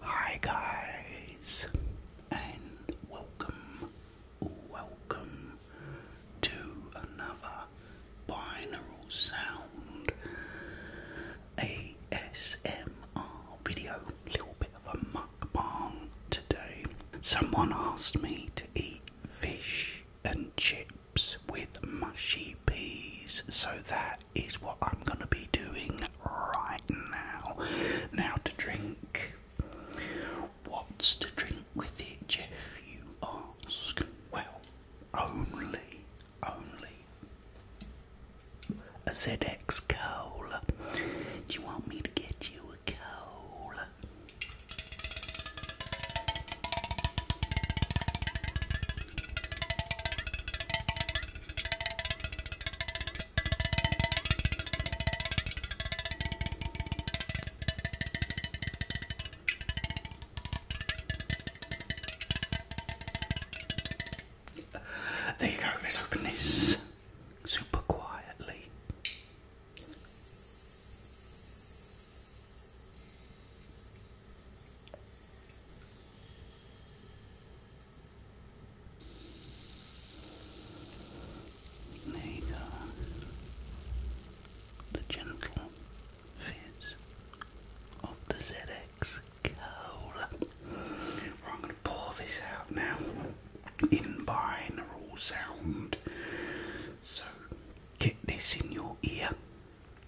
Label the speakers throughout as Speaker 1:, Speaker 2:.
Speaker 1: Hi guys and welcome, welcome to another binaural sound ASMR video. Little bit of a mukbang today. Someone asked me to eat fish and chips with mushy peas, so that is what I'm going to be doing right now. Now, to drink, what's to drink with it, Jeff? You ask. Well, only, only a ZX Cola. Do you want me to get you a cola? There you go, let's open this super quietly. There you go. The gentle fizz of the ZX Cola. I'm going to pour this out now in binaural sound. So get this in your ear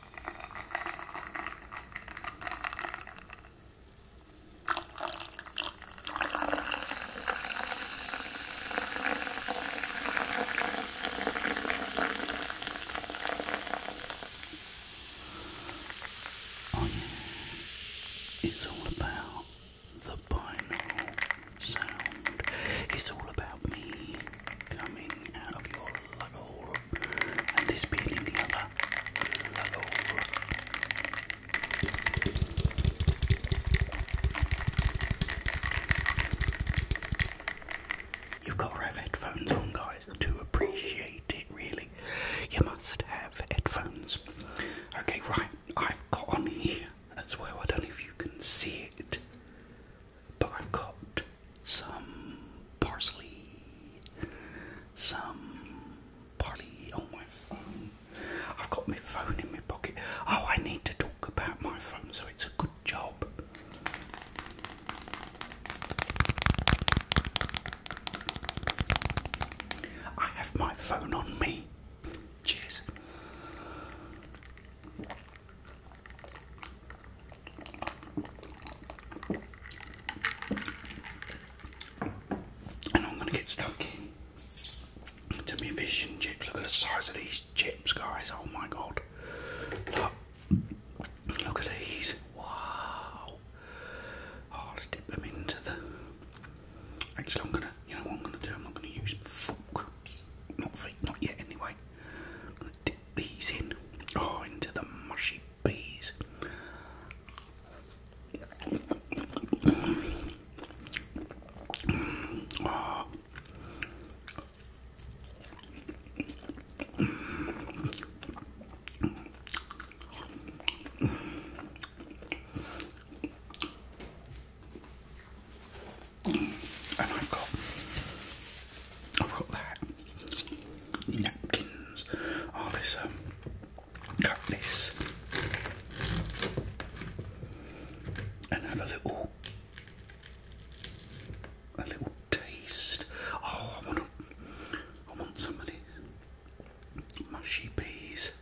Speaker 1: Oh yeah, it's all about the binaural sound. It's all about me coming out of your lug and this being the other. Hello. You've got to have headphones on, guys, to appreciate it, really. You must have headphones. Okay, right, I've got on here as well. I don't know if you can see it, but I've got some parsley, some barley on oh, my phone. I've got my phone in my pocket. Oh, I need to talk about my phone, so it's a good job. I have my phone on me. Cheers. And I'm gonna get stuck in me fish chips. Look at the size of these chips, guys. Oh my god. Look. Look at these. Wow. Oh, let dip them into the. Actually, I'm gonna. You know what I'm gonna do? I'm not gonna use fork. Not yet. Anyway dip these in, oh, into the mushy peas and I've got I've got that napkins. Oh, this um, and have a little a little taste. Oh, I want some of these mushy peas.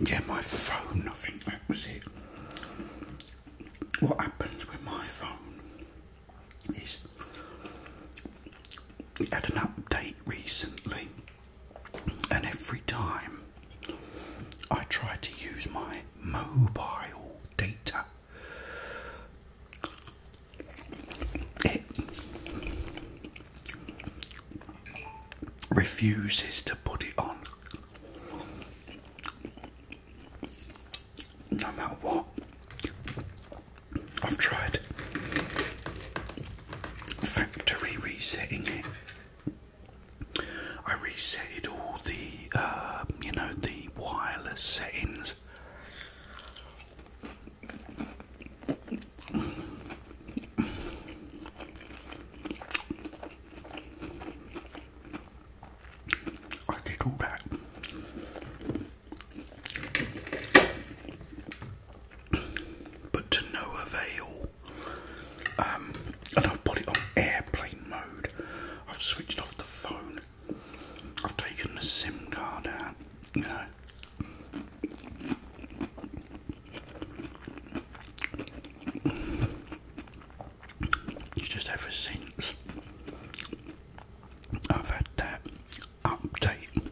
Speaker 1: Yeah, my phone, I think that was it. What happens with my phone is it had an update recently and every time I try to use my mobile data, it refuses to put it on. No matter what, I've tried factory resetting it. I resetted all the, um, you know, the wireless settings. I did all that but to no avail. Um, and I've put it on airplane mode. I've switched off the phone. I've taken the SIM card out. You know. It's just ever since I've had that, update.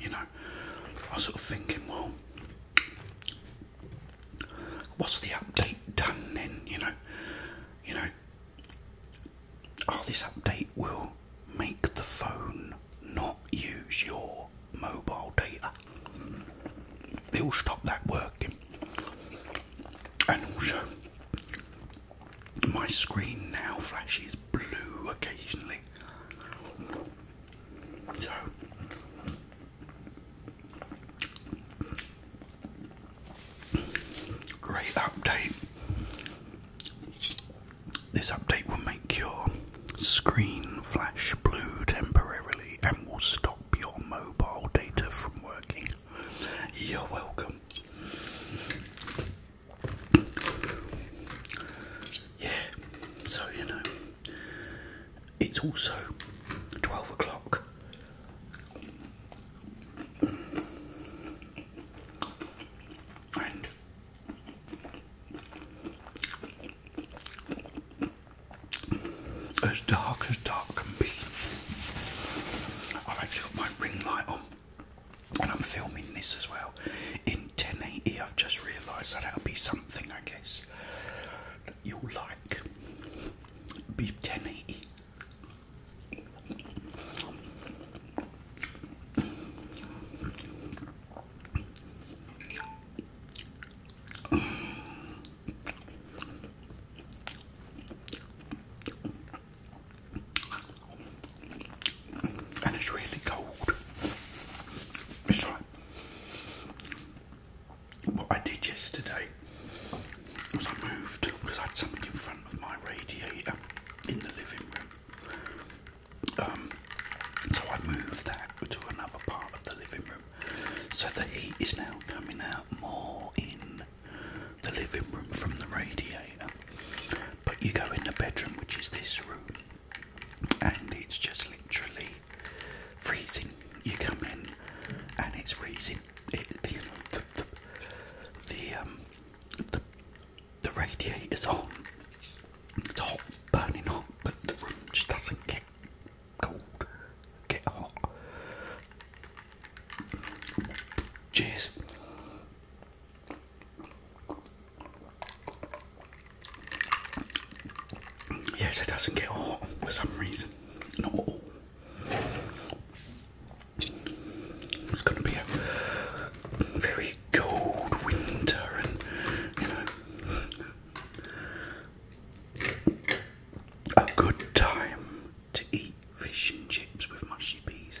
Speaker 1: You know, I was sort of thinking, well, what's the update done then? You know, you know, oh, this update will make the phone not use your mobile data. It will stop that working, and also my screen now flashes blue occasionally great update. This update will make your screen flash blue temporarily and will stop your mobile data from working. You're welcome. Yeah, so you know, it's also 12 o'clock. And as dark as dark can be, I've actually got my ring light on and I'm filming this as well in 1080. I've just realised that that'll be something, I guess, that you'll like. Be 1080 and it's really cold. It's like what I did yesterday was I moved because I had something in front of my radiator in the living room. Um, so I moved that to another part of the living room. So the heat is now coming out more in the living room from the radiator. But you go in the bedroom, which is this room, and it's just literally freezing. You come in, and it's freezing. It, the the the, um, the the radiator's on. It's hot, burning hot, but the room just doesn't get cold, get hot. Cheers. Yes, it doesn't get hot for some reason. Not all. It's going to be a very cold winter, and you know, a good time to eat fish and chips with mushy peas.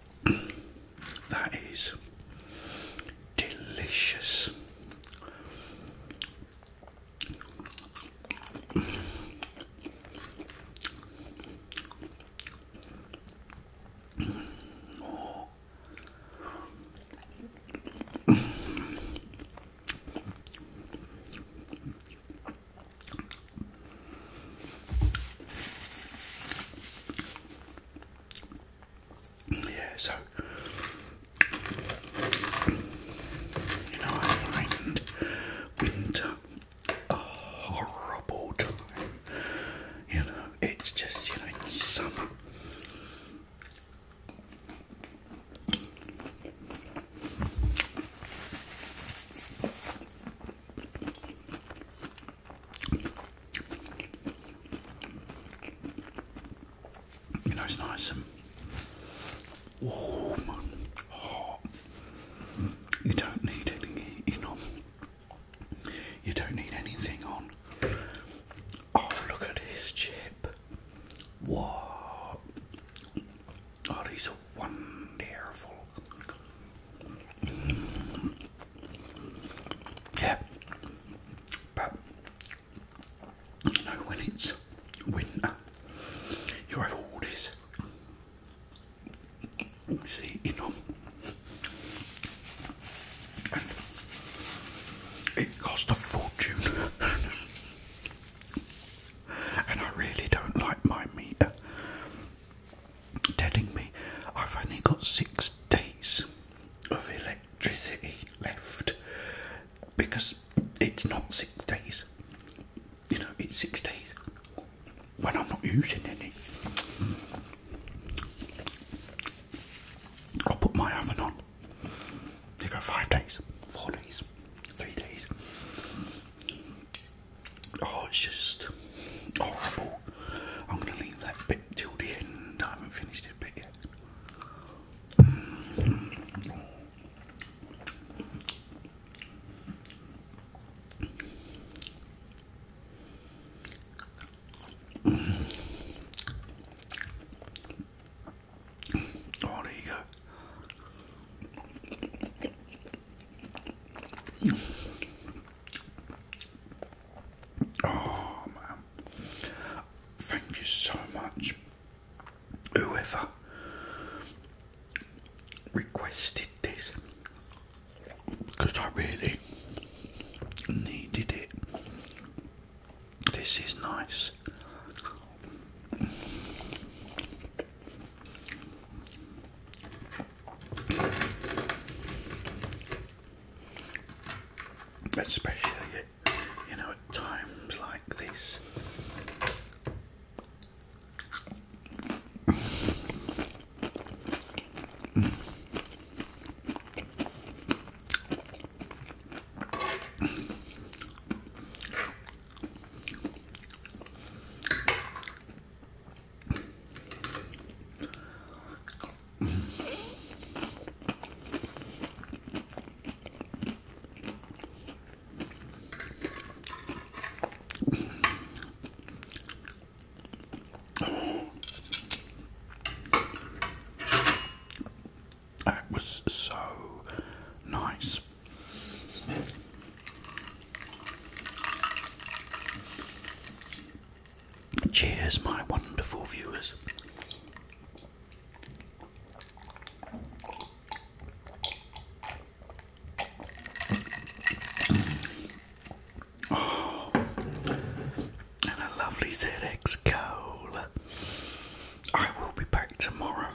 Speaker 1: That is delicious yeah, so you know, I find winter a horrible time. You know, it's just you know, summer. You know, it's nice and warm You don't need any, you know, you don't need anything on. Oh, look at his chip. What? Oh, these wonderful. Yeah, but you know, when it's winter, you have all this all it cost a fortune. and I really don't like my meter telling me I've only got six days of electricity left because it's not six days, you know, it's six days when I'm not using any. I'll put my oven on. They go five days, four days, three days. Oh, it's just horrible. I'm going to leave that bit till the end. I haven't finished it bit yet. Oh, there you go. Oh man. Thank you so much. Whoever requested this because I really needed it. This is nice. Especially, you know, at times like this. That was so nice. Cheers, my wonderful viewers. Oh, and a lovely ZX Cola. I will be back tomorrow.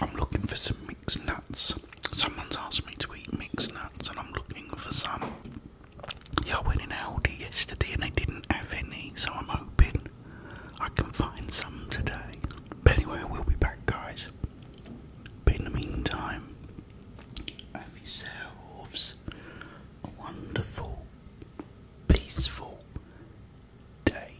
Speaker 1: I'm looking for some mixed nuts. Someone's asked me to eat mixed nuts, and I'm looking for some. I went in Aldi yesterday and they didn't have any, so I'm hoping I can find some today. But anyway, we'll be back, guys. But in the meantime, have yourselves a wonderful, peaceful day.